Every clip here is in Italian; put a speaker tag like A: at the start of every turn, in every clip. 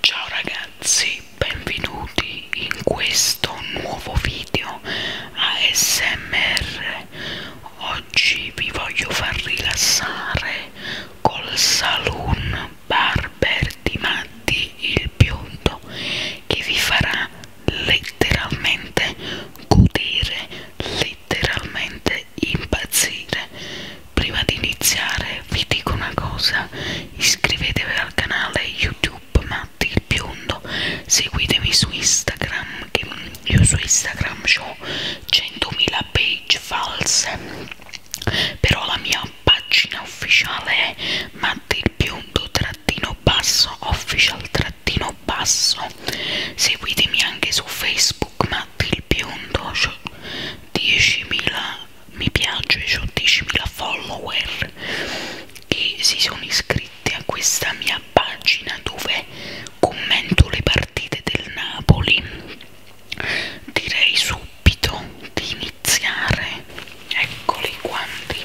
A: Ciao ragazzi, benvenuti in questo nuovo video ASMR. Oggi vi voglio far rilassare col Saloon Barber di Matti il Biondo che vi farà letteralmente godere, letteralmente impazzire Prima di iniziare vi dico una cosa, iscrivetevi al canale YouTube Matti il Biondo, seguitemi su Instagram, che io su Instagram ho 100.000 page false, però la mia pagina ufficiale è Matti il Biondo trattino basso, official trattino basso, seguitemi anche su Facebook Matt il biondo, 10.000 mi piace, ho 10.000 follower che si sono iscritti a questa mia pagina dove commento le partite del Napoli direi subito di iniziare eccoli i guanti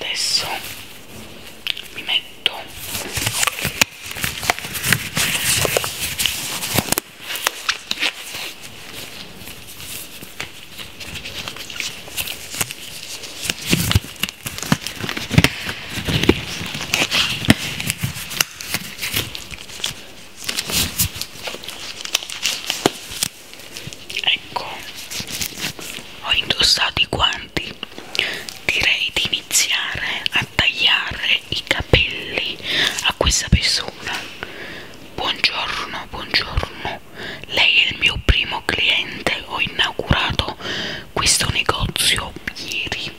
A: Adesso mi metto Ecco, ho indossato i guanti. Direi di iniziare a tagliare i capelli a questa persona. Buongiorno, buongiorno lei è il mio primo cliente ho inaugurato questo negozio ieri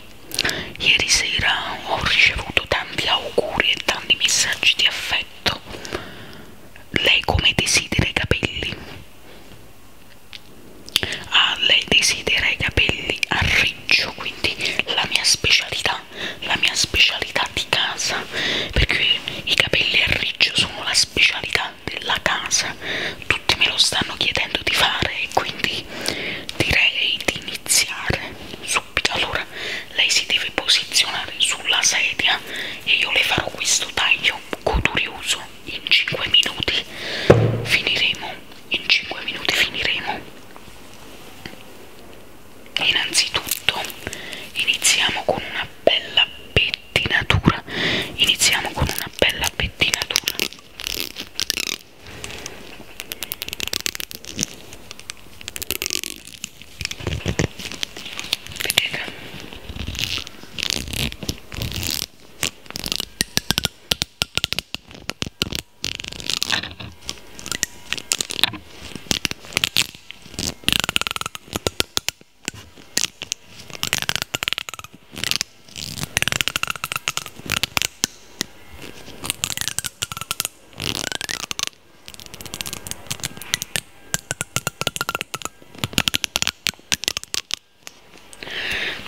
A: ieri sera ho ricevuto tanti auguri e tanti messaggi di affetto lei come desidera i capelli ah lei desidera i capelli a riccio quindi la mia specialità la mia specialità di casa casa perché i capelli a riccio sono la specialità della casa tutti me lo stanno chiedendo di fare e quindi direi di iniziare subito allora lei si deve posizionare sulla sedia e io le farò questo taglio codurioso in 5 minuti finiremo in 5 minuti finiremo innanzitutto iniziamo con una bella pettinatura iniziamo con una bella pettinatura vedete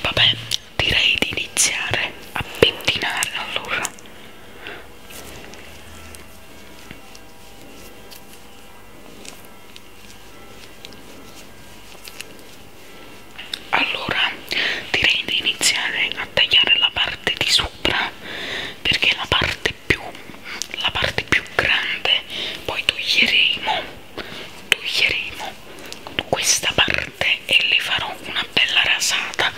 A: Vabbè, direi di iniziare a pettinare allora allora direi di iniziare a tagliare la parte di sopra perché è la parte più la parte più grande poi toglieremo toglieremo questa parte e le farò una bella rasata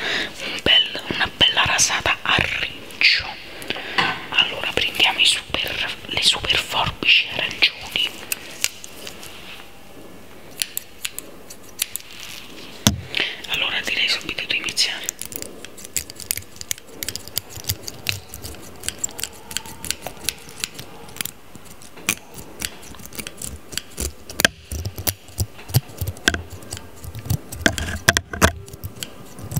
A: un bel, una bella rasata a riccio allora prendiamo i super, le super forbici arancioni allora direi subito di iniziare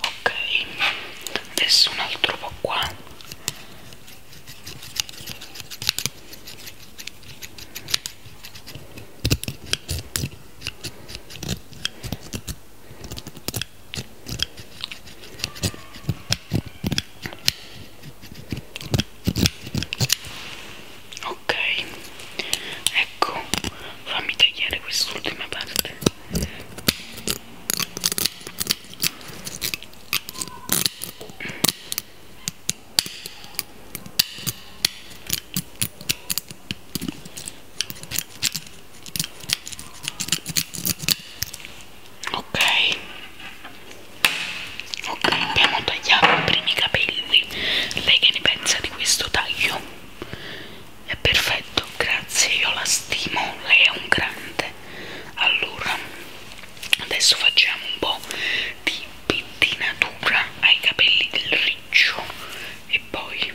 A: ok adesso un altro po' qua ok ecco fammi tagliare quest'ultima parte ok ok abbiamo tagliato i primi capelli lei che ne pensa di questo taglio? è perfetto grazie io la stimo lei è un grande allora adesso facciamo un po' di pettinatura ai capelli del riccio e poi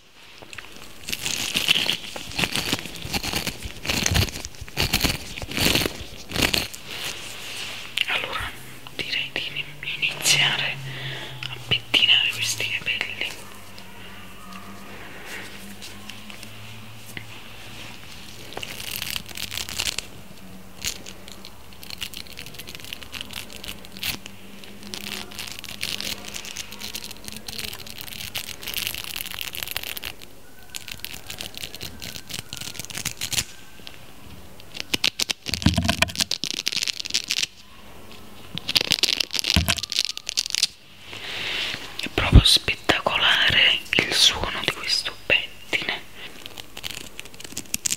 A: allora direi di iniziare a pettinare questi capelli è proprio spettacolare il suono di questo pettine.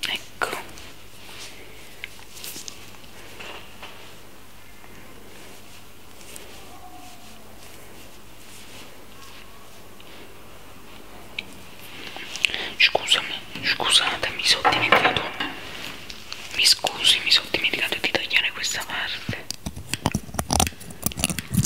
A: ecco scusami scusate mi sono dimenticato mi scusi mi sono dimenticato di tagliare questa parte